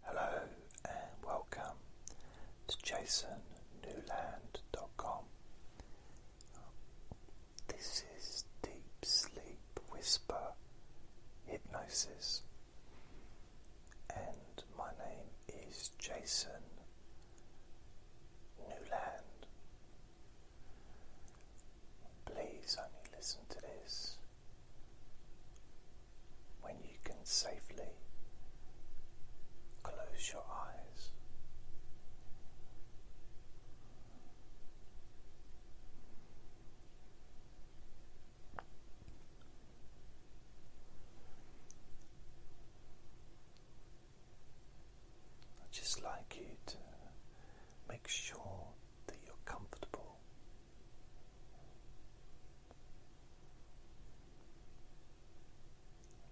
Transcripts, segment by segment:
Hello and welcome to jasonnewland.com. This is Deep Sleep Whisper Hypnosis, and my name is Jason Newland. Please only listen to this when you can safely close your eyes. i just like you to make sure that you're comfortable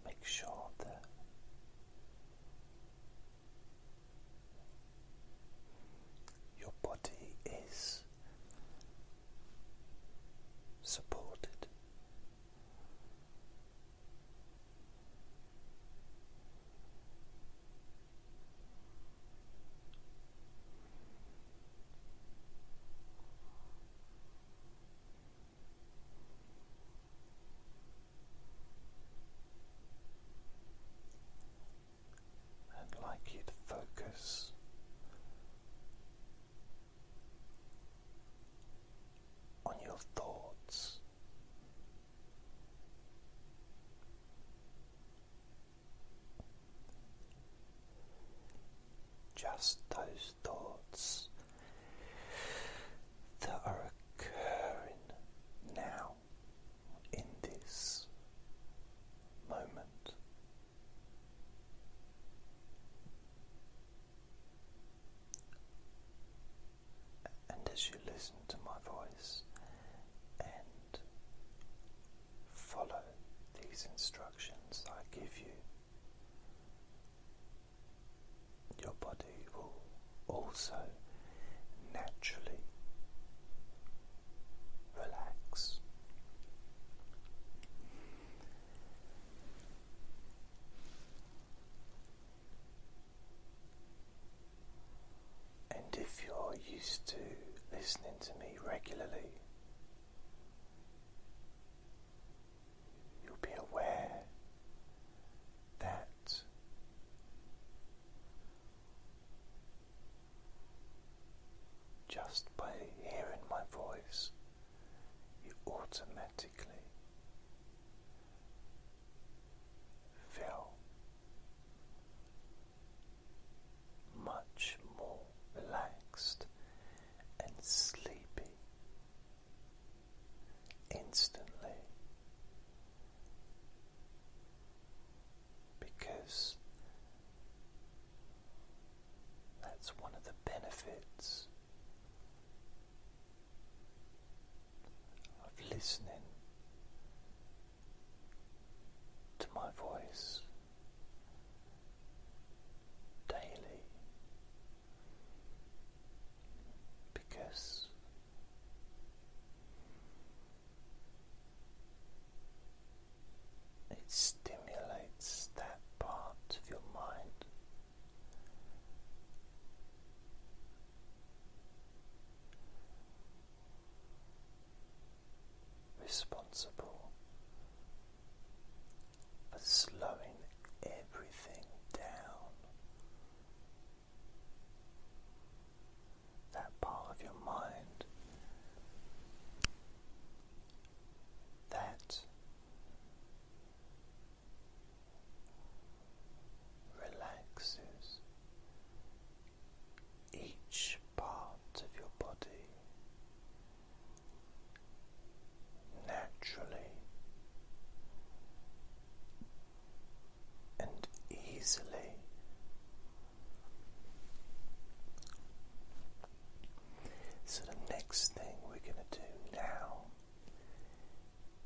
Make sure that your body is supported. I'd like you to focus on your thoughts. Just those thoughts that are occurring now in this moment. And as you listen to my voice and Follow these instructions I give you. Your body will also naturally relax. And if you're used to listening to me regularly, You'll be aware that just by hearing my voice, you automatically feel much more relaxed and sleepy instantly because that's one of the benefits of listening to my voice daily because it stimulates that part of your mind responsible for slowing everything down. That part of your mind that relaxes each part of your body naturally and easily. So, the next thing we're going to do now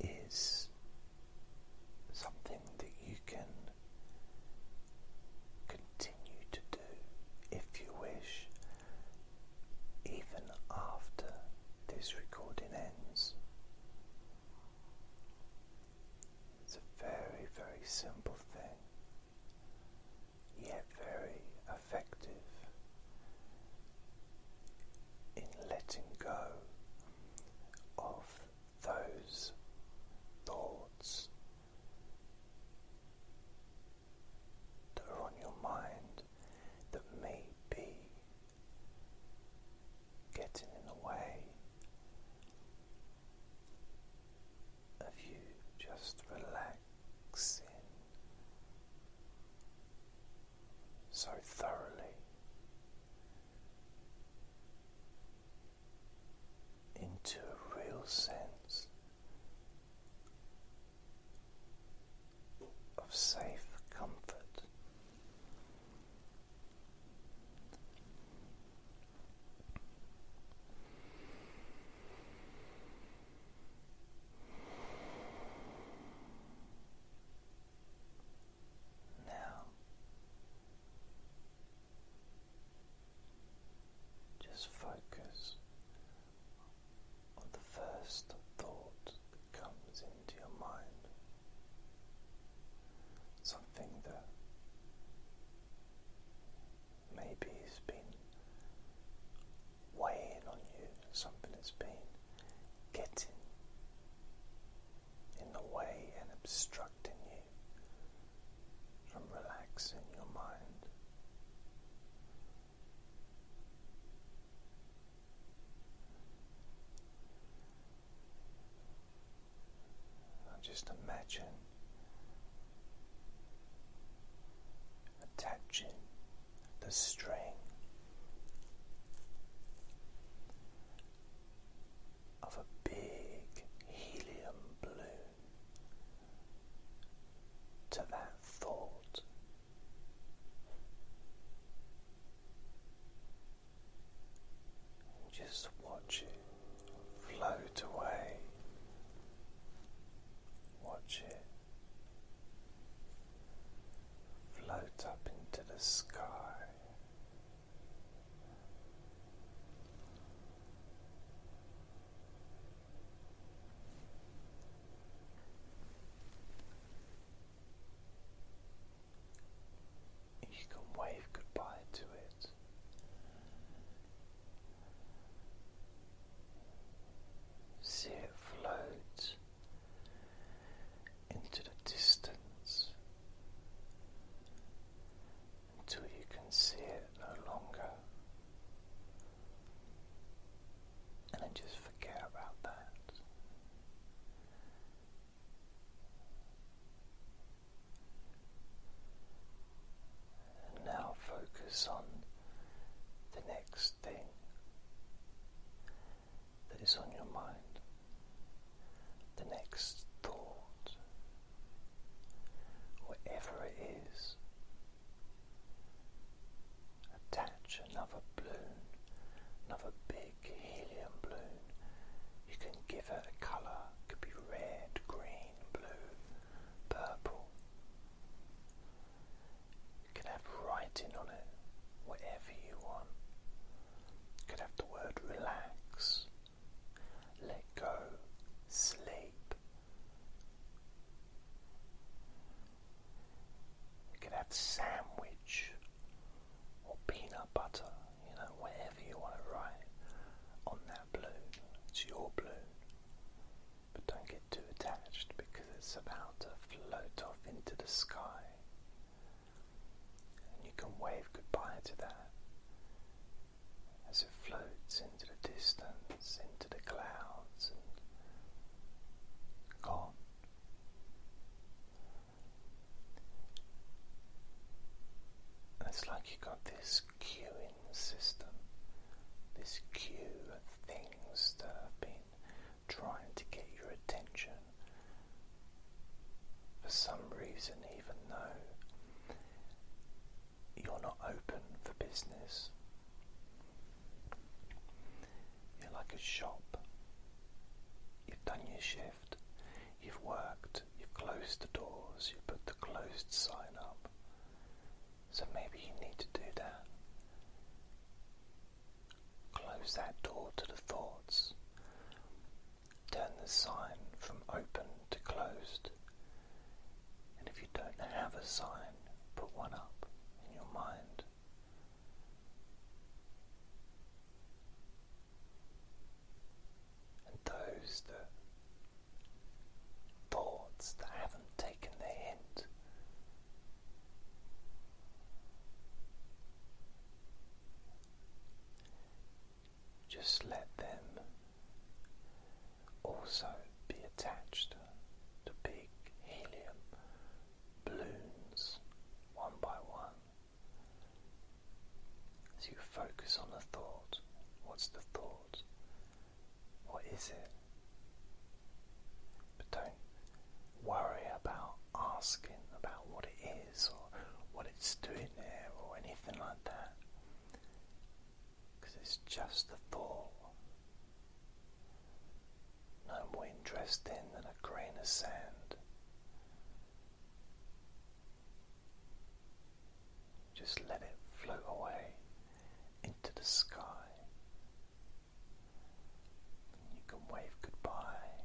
is something that you can continue to do if you wish, even after this recording ends. It's a very, very simple thing, yet very effective in letting go of those thoughts that are on your mind that may be getting in the way of you just relaxing so thoroughly into a real sense of safe comfort. Now, just focus on the first thought that comes into your mind. Something that maybe has been weighing on you, something that's been getting in the way and obstructing you from relaxing your mind. Now just imagine attaching the string of a big helium balloon to that thought. Just watch it float away. Watch it float up into the sky you can wave goodbye to it. See it float into the distance until you can see it no longer. And then just forget about that. now focus on the next thing that is on your mind the next thought, whatever it is. Attach another balloon, another big helium balloon. You can give it a colour, could be red, green, blue, purple. You can have writing on it, whatever you want. could have the word relax, let go, sleep. You can have sandwich or peanut butter, you know, whatever you want to write on that balloon. It's your balloon. But don't get too attached because it's about to float off into the sky and you can wave goodbye to that as it floats into the distance, into the clouds, and gone. And it's like you've got this queuing system, this queue of things that have been trying to get your attention for some reason, even though you're not open for business, you're like a shop. You've done your shift, you've worked, you've closed the doors, you put the closed sign up. So maybe you need to do that. Close that door to the thoughts turn the sign from open to closed. And if you don't have a sign, put one up in your mind. And those that thoughts that haven't taken the hint just let them also be attached to big helium balloons one by one. As you focus on the thought, what's the thought? What is it? But don't worry about asking about what it is or what it's doing or anything like that because it's just a thought. No more interesting than a grain of sand. Just let it float away into the sky. you can wave goodbye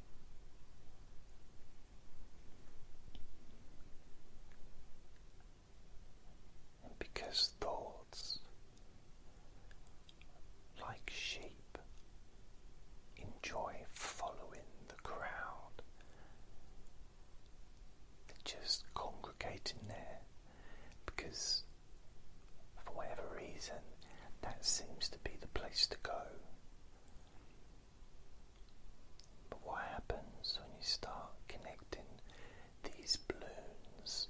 because thoughts, like sheep, enjoy following the crowd, they're just congregating there because, for whatever reason, that seems to be the place to go. But what happens when you start connecting these balloons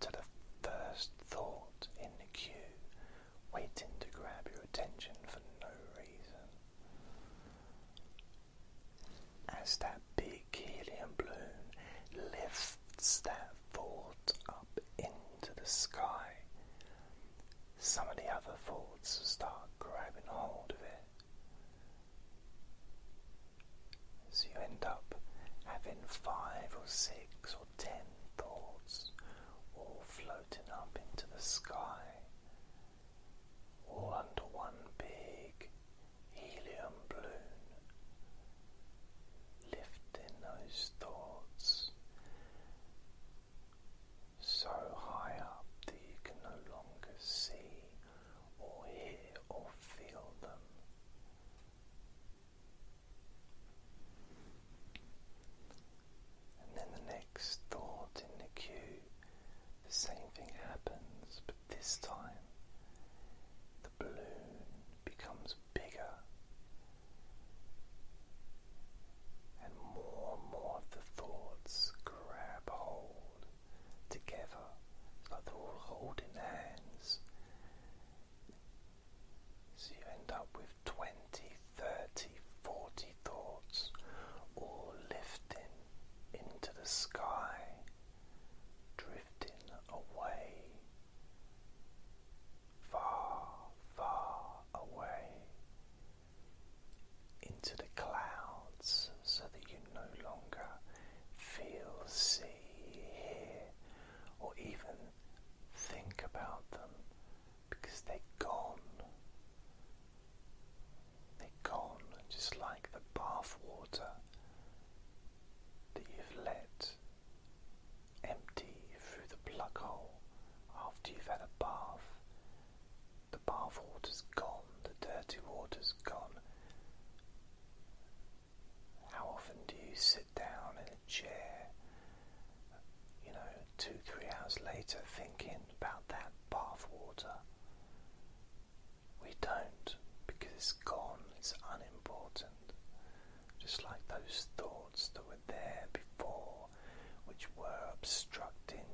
to the first thought in the queue, waiting to grab your attention for no reason? As that big helium balloon lifts that thought up into the sky, some of the other thoughts start grabbing hold of it. So you end up having five or six or ten thoughts all floating up into the sky, all under one big helium balloon, lifting those thoughts so high up that you can no longer see or hear or feel them. And then the next thought in the queue, the same thing happens, but this time the balloon becomes bigger and more and more of the thoughts grab hold together. like all holding hands. So you end up with 20, 30, 40 thoughts all lifting into the sky, drifting away, far, far away into the clouds so that you no longer feel, see, hear, or even think about them because they're gone. They're gone just like the bath water that you've let empty through the plug hole after you've had a bath. The bath water's gone, the dirty water's gone. How often do you sit down in a chair, you know, two, three hours later thinking about that bath water? We don't because it's gone, it's unimportant. Just like those thoughts that were there before which were obstructing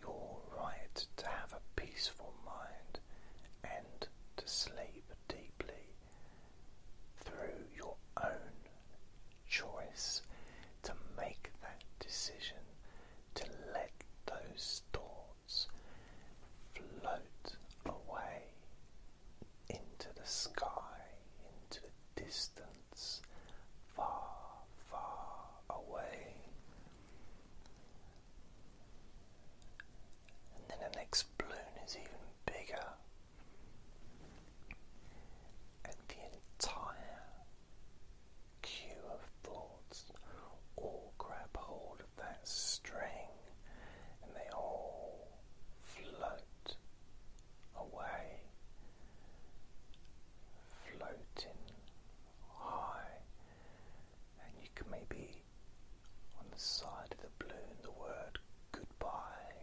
your right to have a peaceful mind and to sleep deeply through your own choice to make that decision to let those thoughts float away into the sky, into the distance far, far away. And then the next balloon is even bigger. And the entire queue of thoughts all grab hold of that string and they all float away, floating high, and you can maybe on the side of the balloon the word goodbye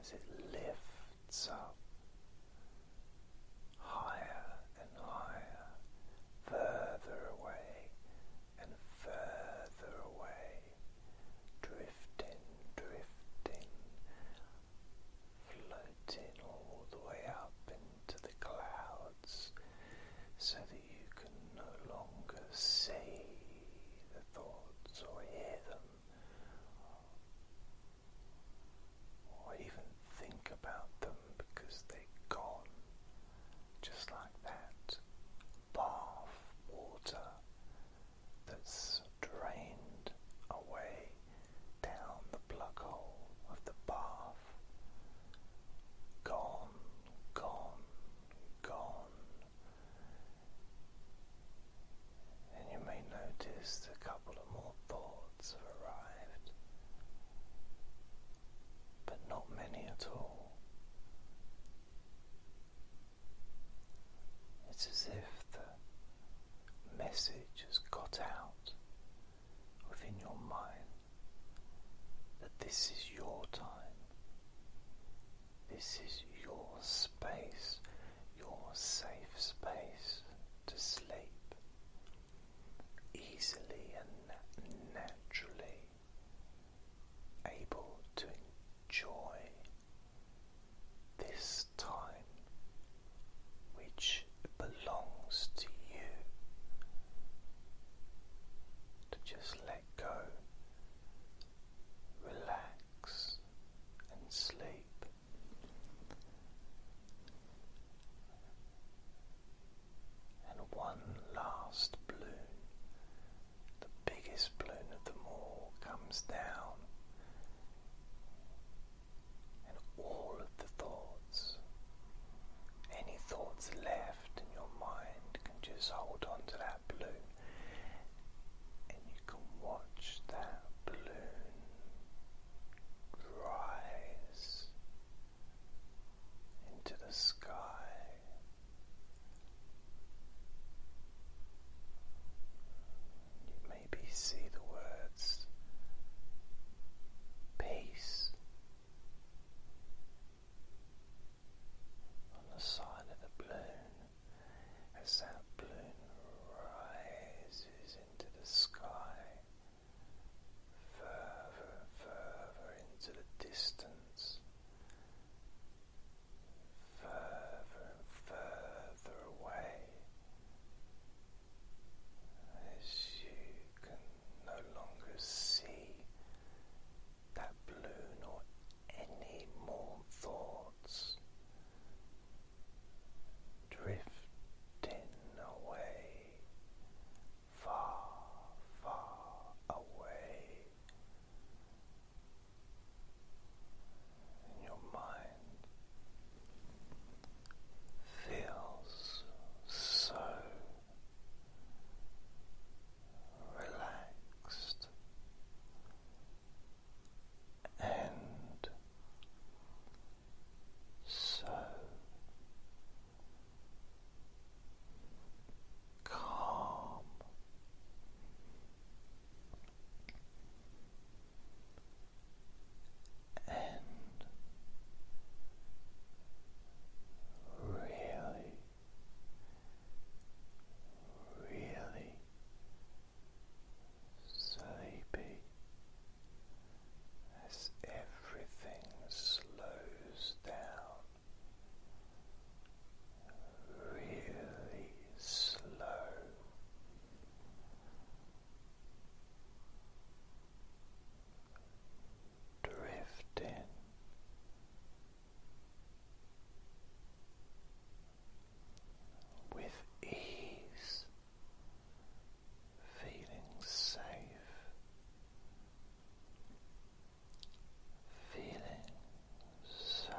as it lifts up higher and higher, further away and further away drifting, drifting, floating all the way up into the clouds so that you can no longer see the thoughts or hear them or even think about them because they're gone just like that. Bath water that's drained away down the plug hole of the bath. Gone, gone, gone. And you may notice that a couple of more thoughts have arrived, but not many at all. It's as if the message has got out within your mind that this is your time, this is your space, your safe space to sleep easily and naturally. Able to enjoy this time which belongs to you to just let go, relax, and sleep. And one last balloon the biggest balloon of them all comes down, and all of the thoughts, any thoughts left in your mind, can just hold on to that balloon, and you can watch that balloon rise into the sky maybe see the words peace on the side of the balloon as that balloon rises into the sky further and further into the distance further and further away as you can no longer see that balloon or any more thoughts drifting away far far away and your mind feels so relaxed and so calm and really, really sleepy as everything slows down really slow. Drifting with ease, feeling safe feeling so,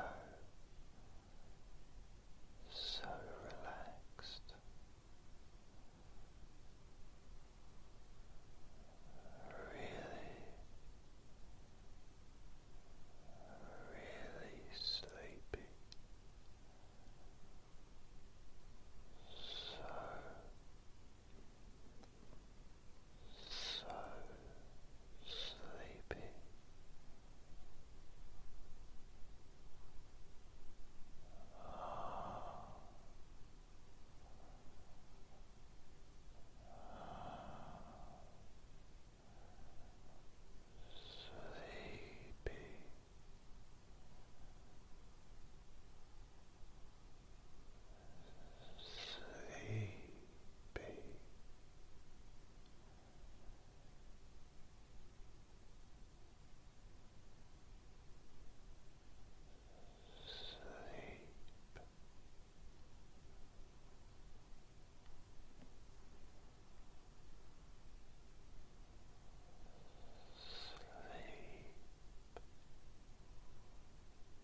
so relaxed. Really, really sleepy, so so sleepy. Sleepy. Sleepy be. Sleep. Sleep.